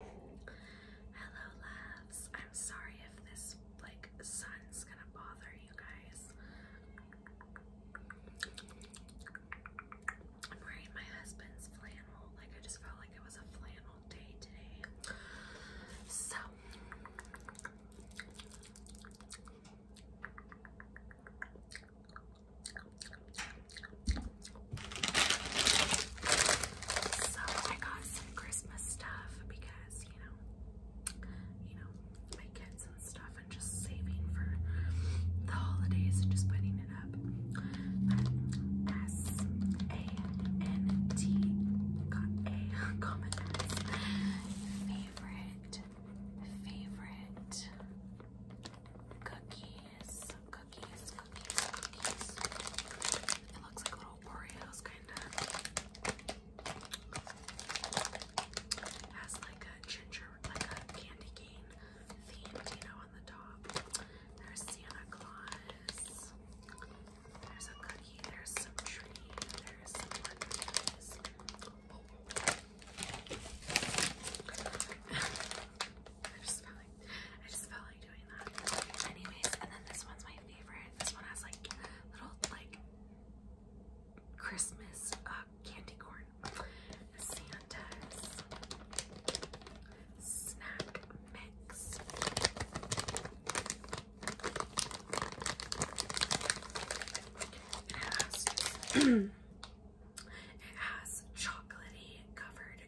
Hello, loves. I'm sorry if this like sun's gonna bother you guys. I'm wearing my husband's flannel. Like I just felt like it was a flannel day today. So so I got some Christmas stuff because you know, you know, my kids and stuff, and just saving for the holidays and just putting it up. But got a comment favorite favorite cookies. It looks like little Oreos, kind of. Has like a ginger, like a candy cane themed, you know, on the top. There's Santa Claus. There's a cookie. There's some tree. There's some cookies. I just felt like I just felt like doing that. Anyways, and then this one's my favorite. This one has like little like Christmas uh, candy corn. Santa's snack mix. It has chocolatey covered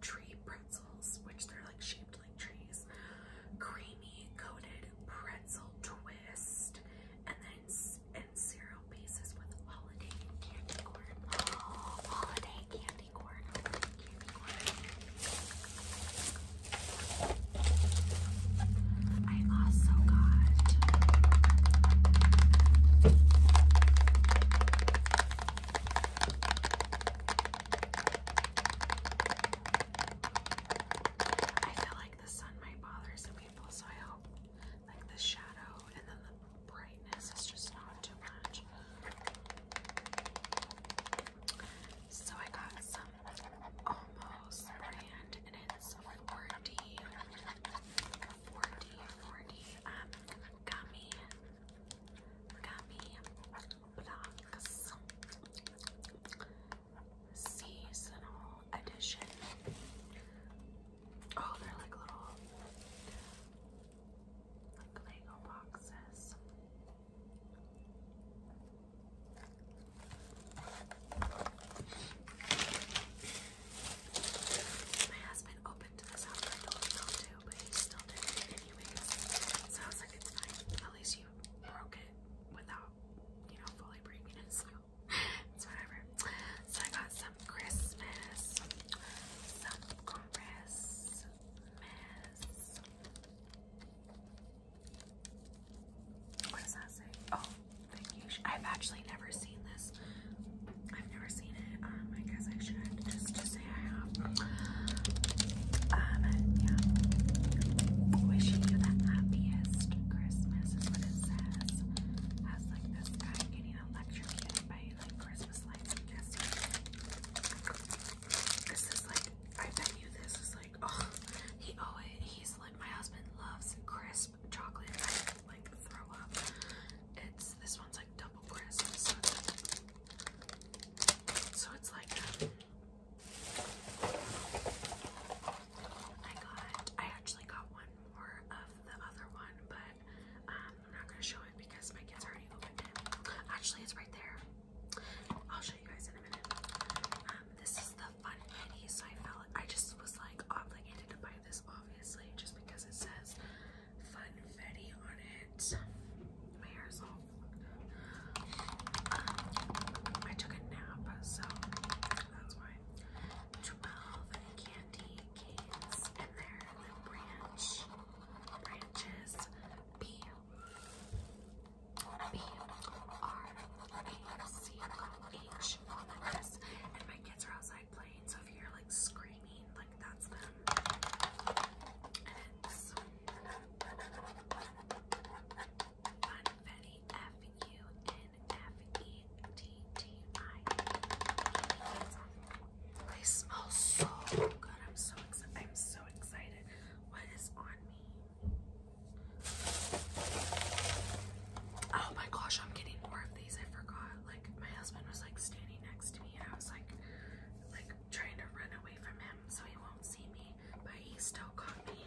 tree pretzels, which they're like shaped like trees, creamy coated pretzel twist, and then and cereal pieces with holiday candy holiday candy corn. Holiday candy corn. I also got I feel like the sun might bother some people, so I hope like the shadow and then the brightness is just not too much. So I got some almost brand and it's 4 40, 40, um, gummy, gummy blocks, seasonal edition. Oh, they're like little, like Lego boxes. My husband opened this up. I told him not but he still did it anyways. So I was like, it's fine. At least you broke it without, you know, fully breaking it. So it's whatever. So I got some Christmas, some Christmas. What does that say? Oh, I've actually never seen this. I've never seen it. Um, I guess I should just just say I have. Um, yeah. Wishing you the happiest Christmas what it says. Has like this guy getting electrocuted by like Christmas lights. This is like. I bet you this is like. Oh, he always. He's like. My husband loves Christmas chocolate I like throw up. It's this one's like double crisp, so it's like, I got I actually got one more of the other one, but um, I'm not gonna show it because my kids already opened it. Actually, it's right there. I'll show you guys in a minute. Um, this is the the so I felt I just was like obligated to buy this, obviously, just because it says funfetti on it. My hair is all. I took a nap, so that's why. Twelve candy canes, and they're branch branches. B R A C H O S. And my kids are outside playing, so if you're like screaming, like that's them. Funfetti F U N F E T T I. They smell so good. I'm so excited. I'm so excited. What is on me? Oh my gosh, I'm getting more of these. I forgot. Like my husband was like standing next to me and I was like like trying to run away from him so he won't see me. But he still caught me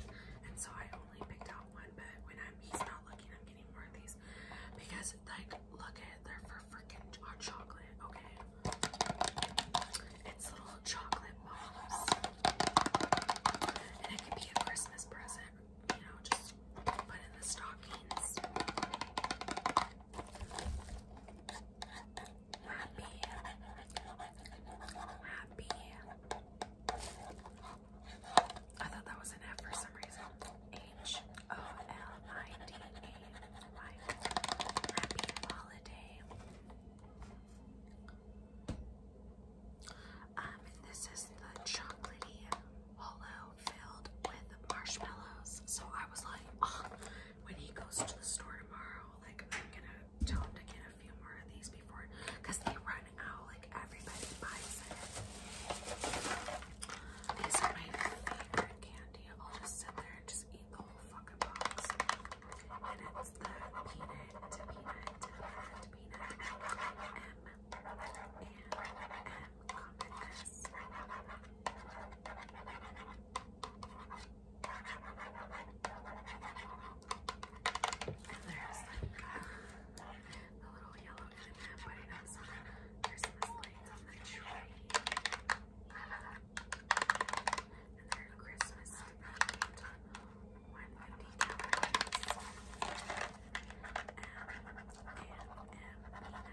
and so I only picked out one but when I'm he's not looking I'm getting more of these. Because like look at it, they're for freaking hot chocolate, okay? It's little chocolate balls. And it could be a Christmas present, you know, just put in the stockings. Happy. Happy. I thought that was an F for some reason. H O L I D A Y. Happy holiday. Um, and this is the chocolatey hollow filled with marshmallows. So I was like, oh, when he goes to the store tomorrow, like I'm gonna tell him to get a few more of these before, cause they run out. Like everybody buys it. These are my favorite candy. I'll just sit there and just eat the whole fucking box and it's the peanut, peanut, peanut, peanut, M, and M, common S. And there's like uh, the little yellow M&M waiting outside. There's some lights on the tree. And they Christmas themed, 150 calories. And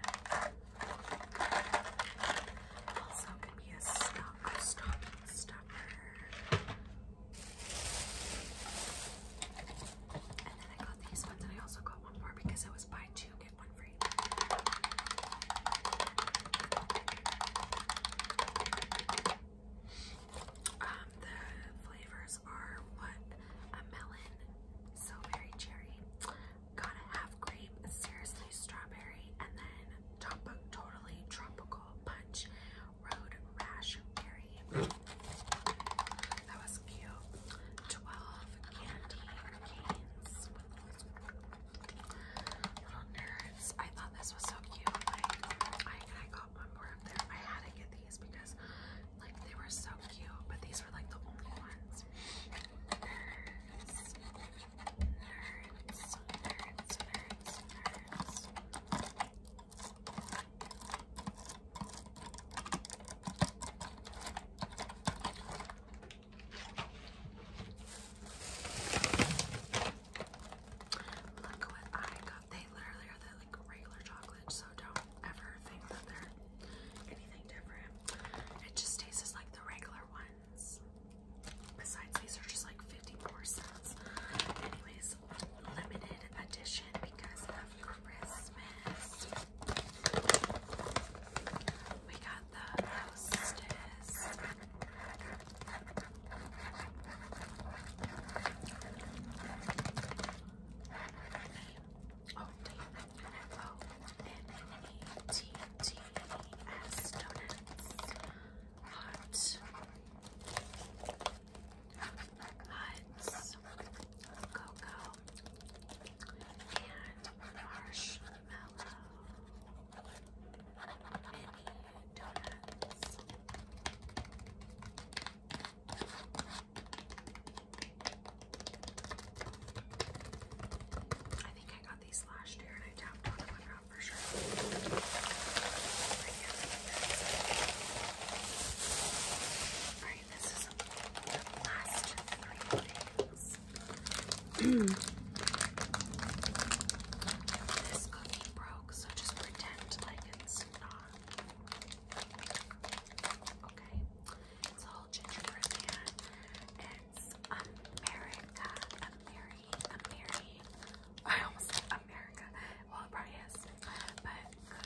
also can be a stuff, stocking stuffer. And then I got these ones, and I also got one more because I was by two, get Um, the flavors are what? A melon, so very cherry. Got a half grape, seriously strawberry, and then top totally tropical punch, road rash berry. That was cute. Twelve candy canes Little nerds. I thought this was so cute. Like, I, I got one more up there. I had to get these because, like, they were so cute. But these were like the only ones. Nerds. Nerds. Nerds. Nerds. Nerds. Look what I got. They literally are the like regular chocolate, so don't ever think that they're anything different. It just tastes like the regular ones. Besides, these are just like 54 cents. Anyways, limited edition because of Christmas. We got the hostess. Oh, oh donuts. Hot. Hot. Cocoa and marshmallow mini donuts. I think I got these last year and I tapped on them out for sure. I this is the last three things. this cookie broke, so just pretend like it's not. Okay, it's a gingerbread man. It's America, Ameri, I almost said America. Well, it probably is, but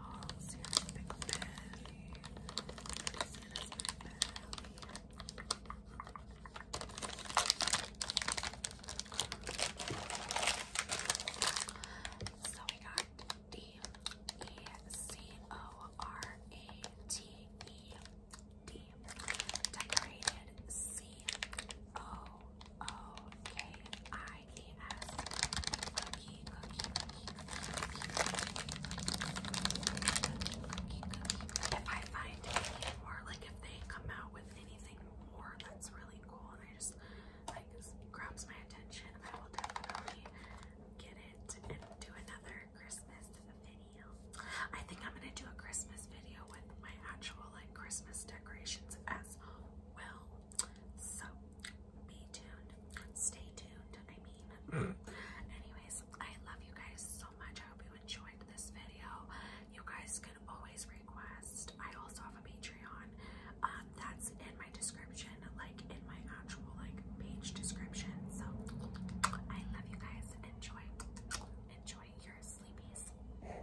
dolls. Here's So we got D E C O R A T E D decorated C O cookie. If I find it like if they come out with anything more that's really cool and I just like grabs my attention, I will definitely get it and do another Christmas video. I think I'm gonna do a Christmas video with my actual like Christmas decorations as well. So be tuned. Stay tuned. I mean, hmm. anyways, I love you guys so much. I hope you enjoyed this video. You guys can always request. I also have a Patreon. Um, that's in my description, like in my actual like page description. So I love you guys. Enjoy. Enjoy your sleepies.